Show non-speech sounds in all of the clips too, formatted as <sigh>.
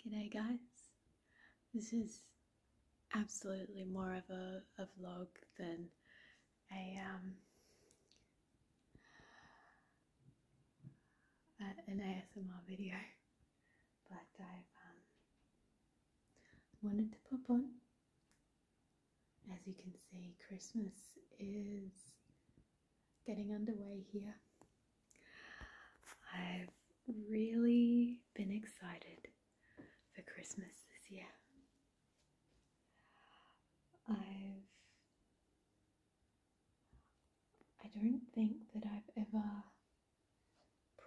G'day guys. This is absolutely more of a, vlog than a um an ASMR video, but i um, wanted to pop on. As you can see, Christmas is getting underway here. I've really been excited for Christmas this year. I've I don't think that I've ever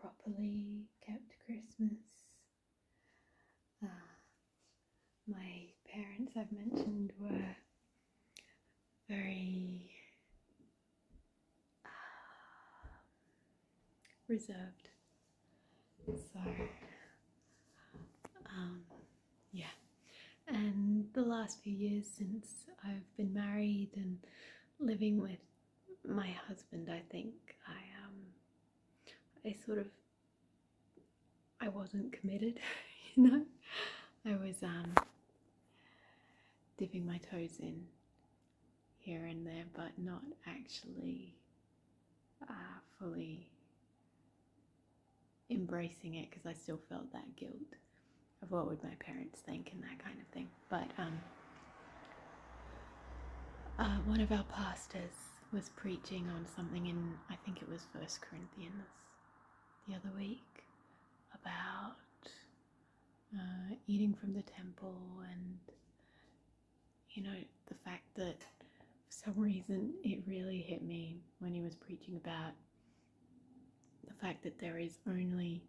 properly kept Christmas. Uh, my parents, I've mentioned, were very um, reserved. So, um, yeah. And the last few years since I've been married and living with my husband, I think I um, I sort of I wasn't committed, <laughs> you know. I was um, dipping my toes in here and there, but not actually uh, fully embracing it because I still felt that guilt of what would my parents think and that kind of thing. But um, uh, one of our pastors was preaching on something in, I think it was First Corinthians the other week about uh, eating from the temple and you know the fact that for some <laughs> reason it really hit me when he was preaching about the fact that there is only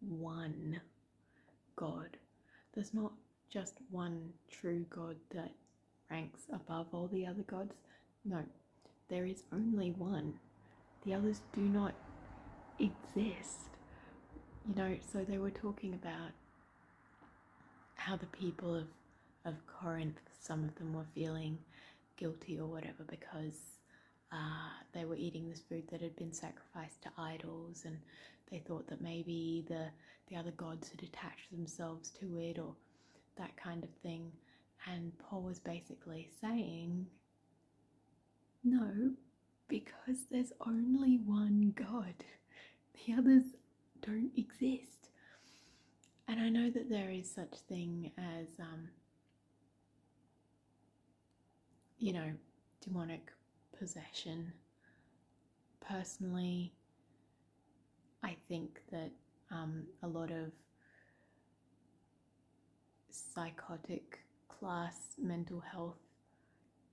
one God. There's not just one true God that ranks above all the other gods. No, there is only one. The others do not exist. You know, so they were talking about how the people of, of Corinth, some of them were feeling guilty or whatever because uh, they were eating this food that had been sacrificed to idols and they thought that maybe the, the other gods had attached themselves to it or that kind of thing. And Paul was basically saying, No, because there's only one God, the others don't exist. And I know that there is such thing as, um, you know, demonic possession. Personally, I think that um, a lot of psychotic class mental health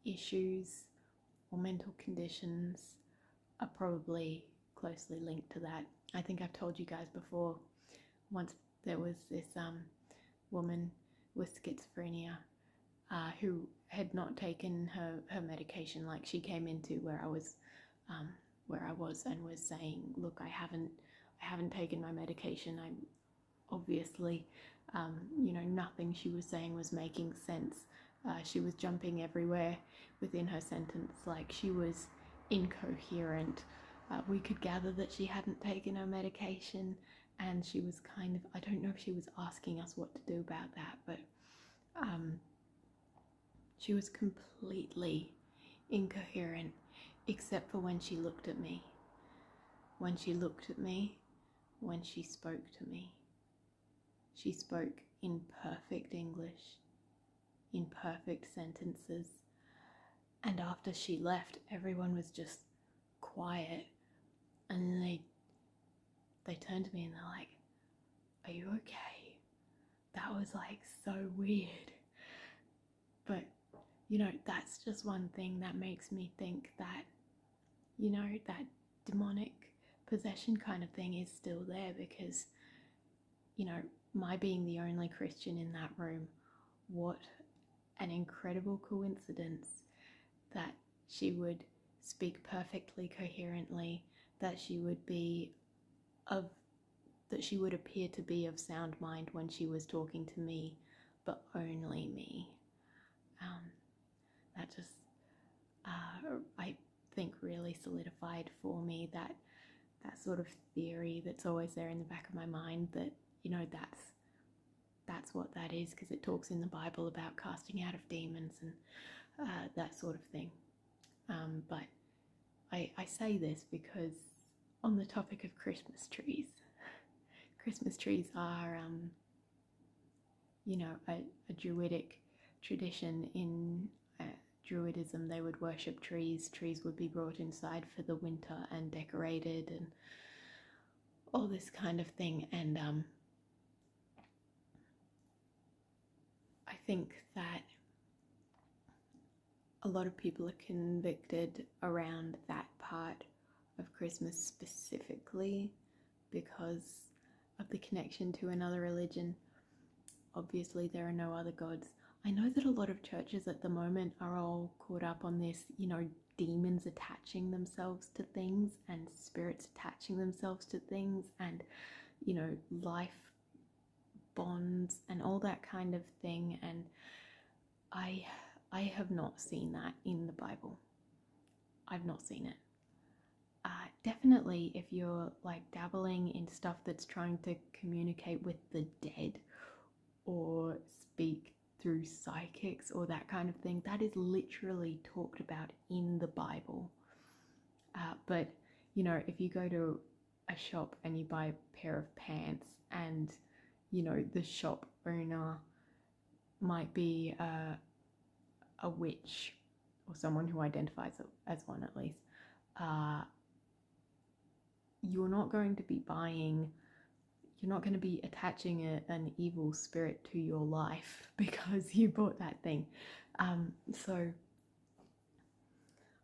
issues or mental conditions are probably closely linked to that. I think I've told you guys before once there was this um, woman with schizophrenia uh, who had not taken her, her medication like she came into where I was um, where I was and was saying, look, I haven't, I haven't taken my medication. I'm obviously, um, you know, nothing she was saying was making sense. Uh, she was jumping everywhere within her sentence, like she was incoherent. Uh, we could gather that she hadn't taken her medication, and she was kind of, I don't know if she was asking us what to do about that, but um, she was completely incoherent, except for when she looked at me. When she looked at me, when she spoke to me. She spoke in perfect English, in perfect sentences. And after she left, everyone was just quiet. And they they turned to me and they're like, "Are you okay?" that was like so weird. But you know, that's just one thing that makes me think that, you know, that demonic possession kind of thing is still there because, you know, my being the only Christian in that room, what an incredible coincidence that she would speak perfectly coherently, that she would be of that she would appear to be of sound mind when she was talking to me, but only me. Um, that just, uh, I think, really solidified for me that that sort of theory that's always there in the back of my mind that you know that's that's what that is because it talks in the Bible about casting out of demons and uh, that sort of thing. Um, but I, I say this because on the topic of Christmas trees, <laughs> Christmas trees are, um, you know, a, druidic tradition in uh, Druidism. They would worship trees, trees would be brought inside for the winter and decorated and all this kind of thing. And um, I think that a lot of people are convicted around that part of Christmas specifically because of the connection to another religion. Obviously, there are no other gods. I know that a lot of churches at the moment are all caught up on this, you know, demons attaching themselves to things and spirits attaching themselves to things and, you know, life bonds and all that kind of thing and i i have not seen that in the bible i've not seen it uh, definitely if you're like dabbling in stuff that's trying to communicate with the dead or speak through psychics or that kind of thing that is literally talked about in the bible uh, but you know if you go to a shop and you buy a pair of pants and you know the shop owner might be a a witch or someone who identifies as one at least uh, you're not going to be buying you're not going to be attaching an evil spirit to your life <laughs> because you bought that thing um, so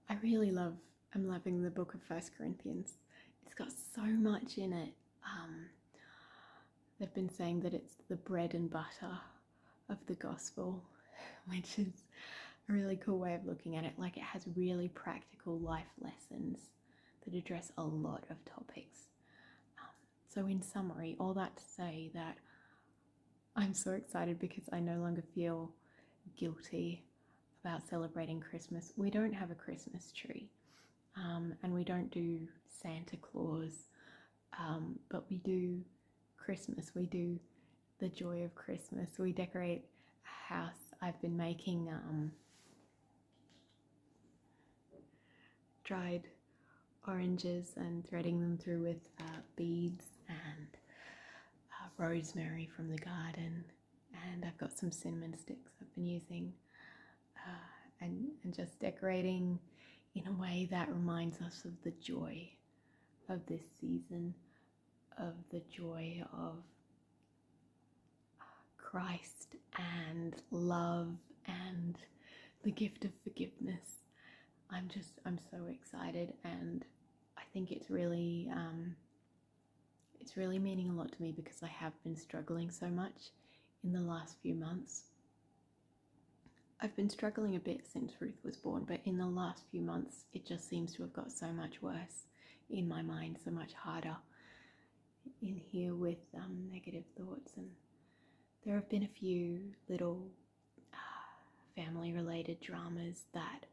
I really love, I'm loving the book of First Corinthians. It's got so much in it. Um, they've been saying that it's the bread and butter of the gospel, <laughs> which is a really cool way of looking at it. Like it has really practical life lessons that address a lot of topics. Um, so, in summary, all that to say that I'm so excited because I no longer feel guilty about celebrating Christmas, we don't have a Christmas tree um, and we don't do Santa Claus, um, but we do Christmas. We do the joy of Christmas. We decorate a house. I've been making um, dried oranges and threading them through with uh, beads and uh, rosemary from the garden, and I've got some cinnamon sticks I've been using, uh, and, and just decorating in a way that reminds us of the joy of this season, of the joy of uh, Christ and love and the gift of forgiveness. I'm just, I'm so excited and I think it's really um, it's really meaning a lot to me because I have been struggling so much in the last few months. I've been struggling a bit since Ruth was born, but in the last few months it just seems to have got so much worse in my mind, so much harder in here with um, negative thoughts. And there have been a few little uh, family related dramas that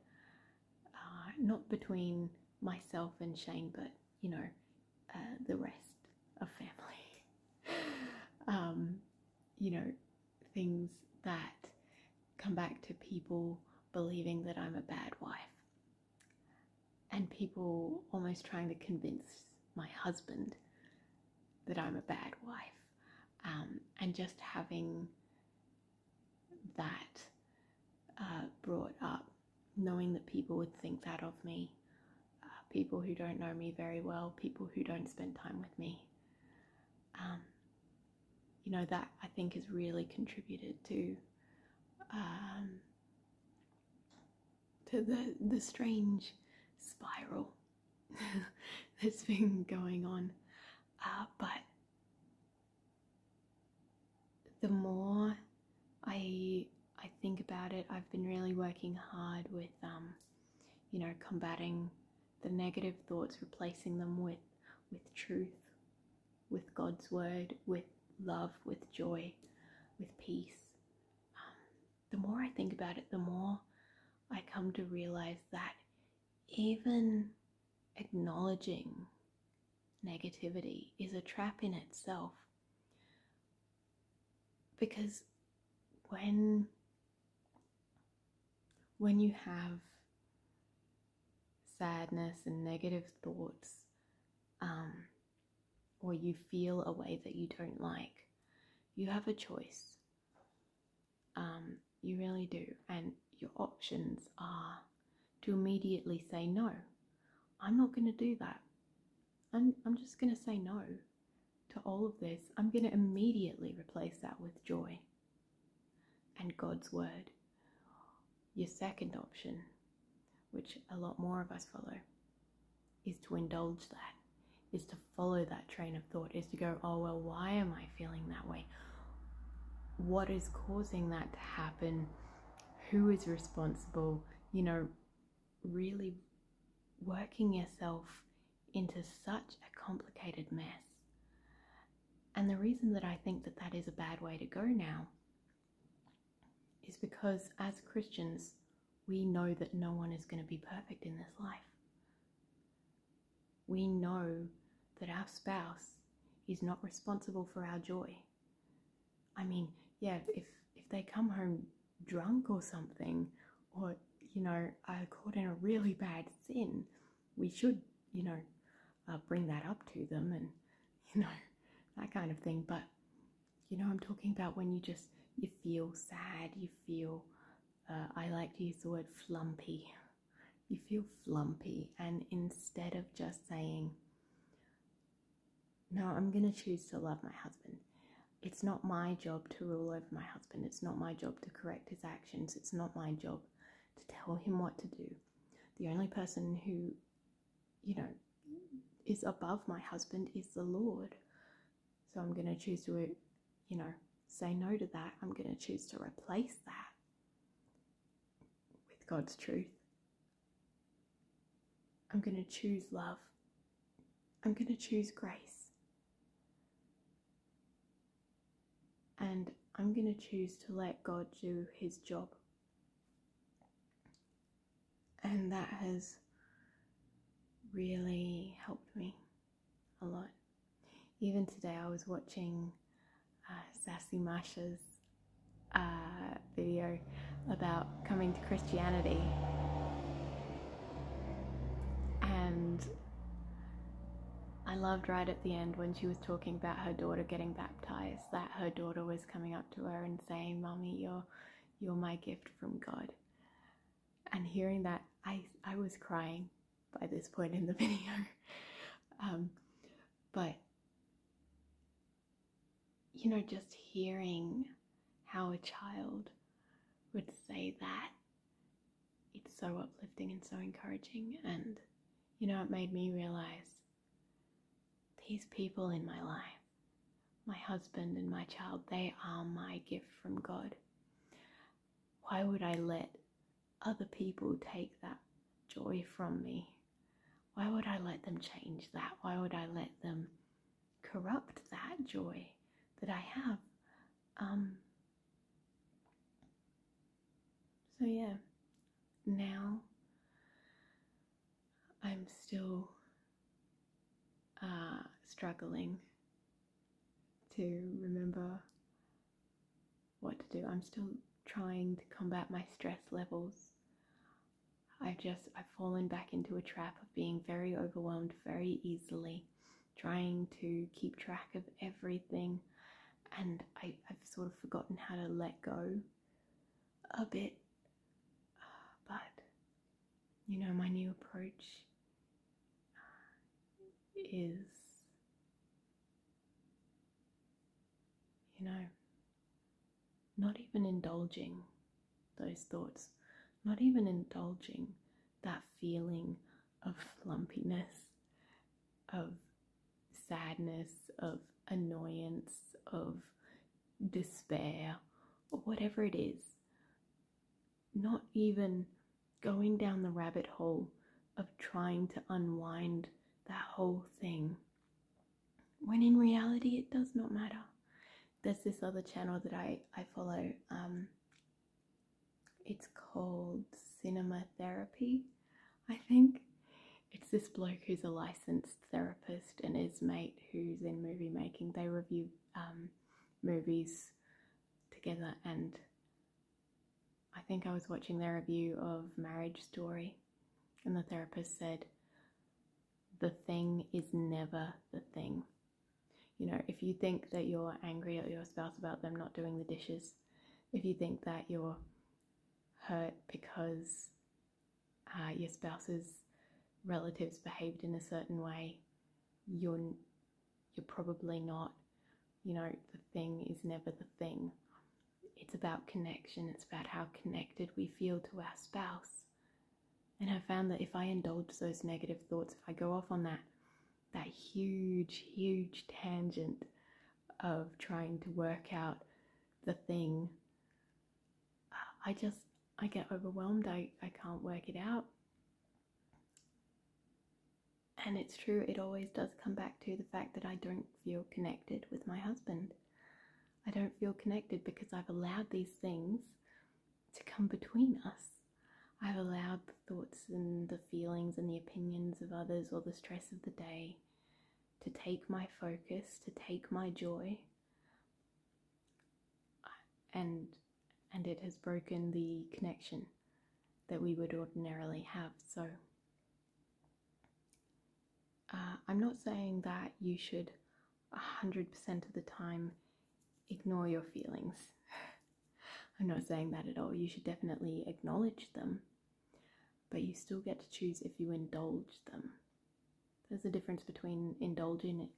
uh, not between myself and Shane, but you know, uh, the rest of family. <laughs> Um, you know, things that come back to people believing that I'm a bad wife, and people almost trying to convince my husband that I'm a bad wife, um, and just having that uh, brought up, knowing that people would think that of me, uh, people who don't know me very well, people who don't spend time with me. Um, you know, that I think has really contributed to. Um, to the, the strange spiral <laughs> that's been going on. Uh, but the more I I think about it, I've been really working hard with um, you know combating the negative thoughts, replacing them with with truth, with God's word, with love, with joy, with peace. Um, the more I think about it, the more I come to realize that even acknowledging negativity is a trap in itself. Because when when you have sadness and negative thoughts, um, or you feel a way that you don't like, you have a choice. Um, you really do. And your options are to immediately say, no, I'm not going to do that. I'm, I'm just going to say no to all of this. I'm going to immediately replace that with joy and God's word. Your second option, which a lot more of us follow, is to indulge that, is to follow that train of thought, is to go, oh, well, why am I feeling that way? what is causing that to happen, who is responsible, you know, really working yourself into such a complicated mess. And the reason that I think that that is a bad way to go now is because as Christians, we know that no one is going to be perfect in this life we know that our spouse is not responsible for our joy. I mean, yeah, if if they come home drunk or something, or you know, are caught in a really bad sin, we should, you know, uh, bring that up to them and <laughs> you know that kind of thing. But you know, I'm talking about when you just you feel sad, you feel uh, I like to use the word flumpy. You feel flumpy, and instead of just saying, No, I'm going to choose to love my husband, it's not my job to rule over my husband, it's not my job to correct his actions, it's not my job to tell him what to do. The only person who, you know, is above my husband is the Lord. So I'm going to choose to, you know, say no to that. I'm going to choose to replace that with God's truth. I'm going to choose love. I'm going to choose grace. And I'm going to choose to let God do His job. And that has really helped me a lot. Even today, I was watching uh, Sassy Masha's uh, video about coming to Christianity, and I loved right at the end when she was talking about her daughter getting baptized. That her daughter was coming up to her and saying, "Mommy, you're you're my gift from God." And hearing that, I I was crying by this point in the <laughs> video. Um, but, you know, just hearing how a child would say that, it's so uplifting and so encouraging. And, you know, it made me realize these people in my life, my husband and my child, they are my gift from God. Why would I let other people take that joy from me? Why would I let them change that? Why would I let them corrupt that joy that I have? Um, so, yeah, now I'm still uh, struggling to remember what to do. I'm still trying to combat my stress levels. I've just I've fallen back into a trap of being very overwhelmed very easily, trying to keep track of everything, and I, have sort of forgotten how to let go a bit. but you know, my new approach is you know, not even indulging those thoughts, not even indulging that feeling of lumpiness, of sadness, of annoyance, of despair, or whatever it is. Not even going down the rabbit hole of trying to unwind that whole thing. When in reality, it does not matter. There's this other channel that I, I follow. Um, it's called Cinema Therapy, I think. It's this bloke who's a licensed therapist and his mate who's in movie making. They review um, movies together and I think I was watching their review of Marriage Story, and the therapist said, The thing is never the thing. You know, if you think that you're angry at your spouse about them not doing the dishes, if you think that you're hurt because uh, your spouse's relatives behaved in a certain way, you're you're probably not. You know, the thing is never the thing. It's about connection, it's about how connected we feel to our spouse. And I have found that if I indulge those negative thoughts, if I go off on that, that huge, huge tangent of trying to work out the thing, I just, I get overwhelmed. I, I can't work it out. And it's true, it always does come back to the fact that I don't feel connected with my husband. I don't feel connected because I've allowed these things to come between us. I've allowed the thoughts and the feelings and the opinions of others or the stress of the day to take my focus, to take my joy. And and it has broken the connection that we would ordinarily have. So uh, I'm not saying that you should 100% of the time ignore your feelings. <laughs> I'm not saying that at all. You should definitely acknowledge them, but you still get to choose if you indulge them. There's a difference between indulging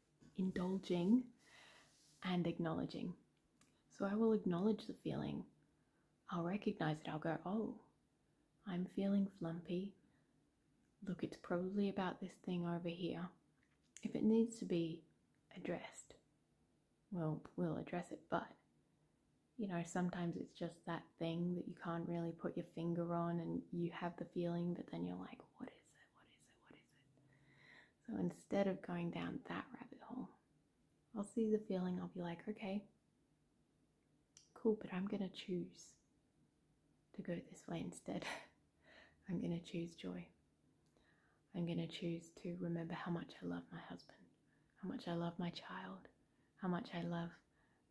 and acknowledging. So I will acknowledge the feeling. I'll recognize it. I'll go, oh, I'm feeling flumpy. Look, it's probably about this thing over here. If it needs to be addressed, well, we'll address it, but you know, sometimes it's just that thing that you can't really put your finger on and you have the feeling, but then you're like, what is it? What is it? What is it? So instead of going down that rabbit hole, I'll see the feeling, I'll be like, okay, cool, but I'm going to choose to go this way instead. <laughs> I'm going to choose joy. I'm going to choose to remember how much I love my husband, how much I love my child, how much I love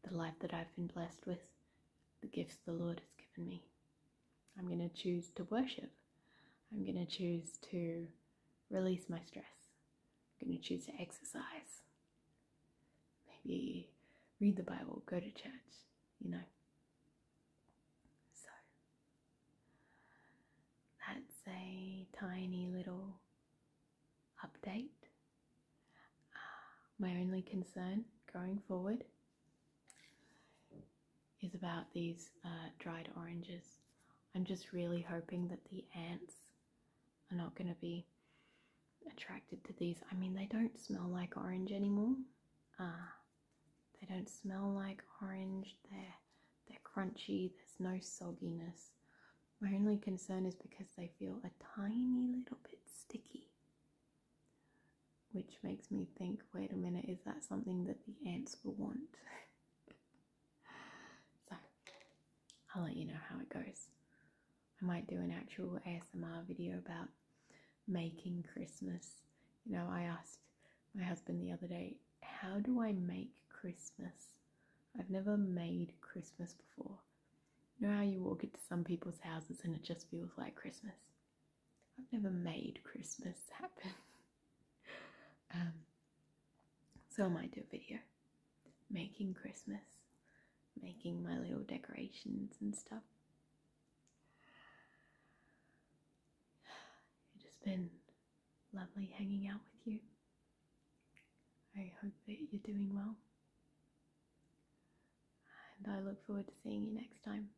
the life that I've been blessed with, the gifts the Lord has given me. I'm going to choose to worship I'm going to choose to release my stress. I'm going to choose to exercise. Maybe read the Bible, go to church, you know. So that's a tiny little update. My only concern going forward is about these uh, dried oranges. I'm just really hoping that the ants are not going to be attracted to these. I mean, they don't smell like orange anymore. Uh, they don't smell like orange. They're, they're crunchy. There's no sogginess. My only concern is because they feel a tiny little bit sticky. Which makes me think, wait a minute, is that something that the ants will want? <laughs> <sighs> So I'll let you know how it goes. I might do an actual ASMR video about making Christmas. You know, I asked my husband the other day, how do I make Christmas? I've never made Christmas before. You know how you walk into some people's houses and it just feels like Christmas? I've never made Christmas happen. <laughs> <laughs> Um, so I might do a video making Christmas, making my little decorations and stuff. <sighs> It has been lovely hanging out with you. I hope that you're doing well. And I look forward to seeing you next time.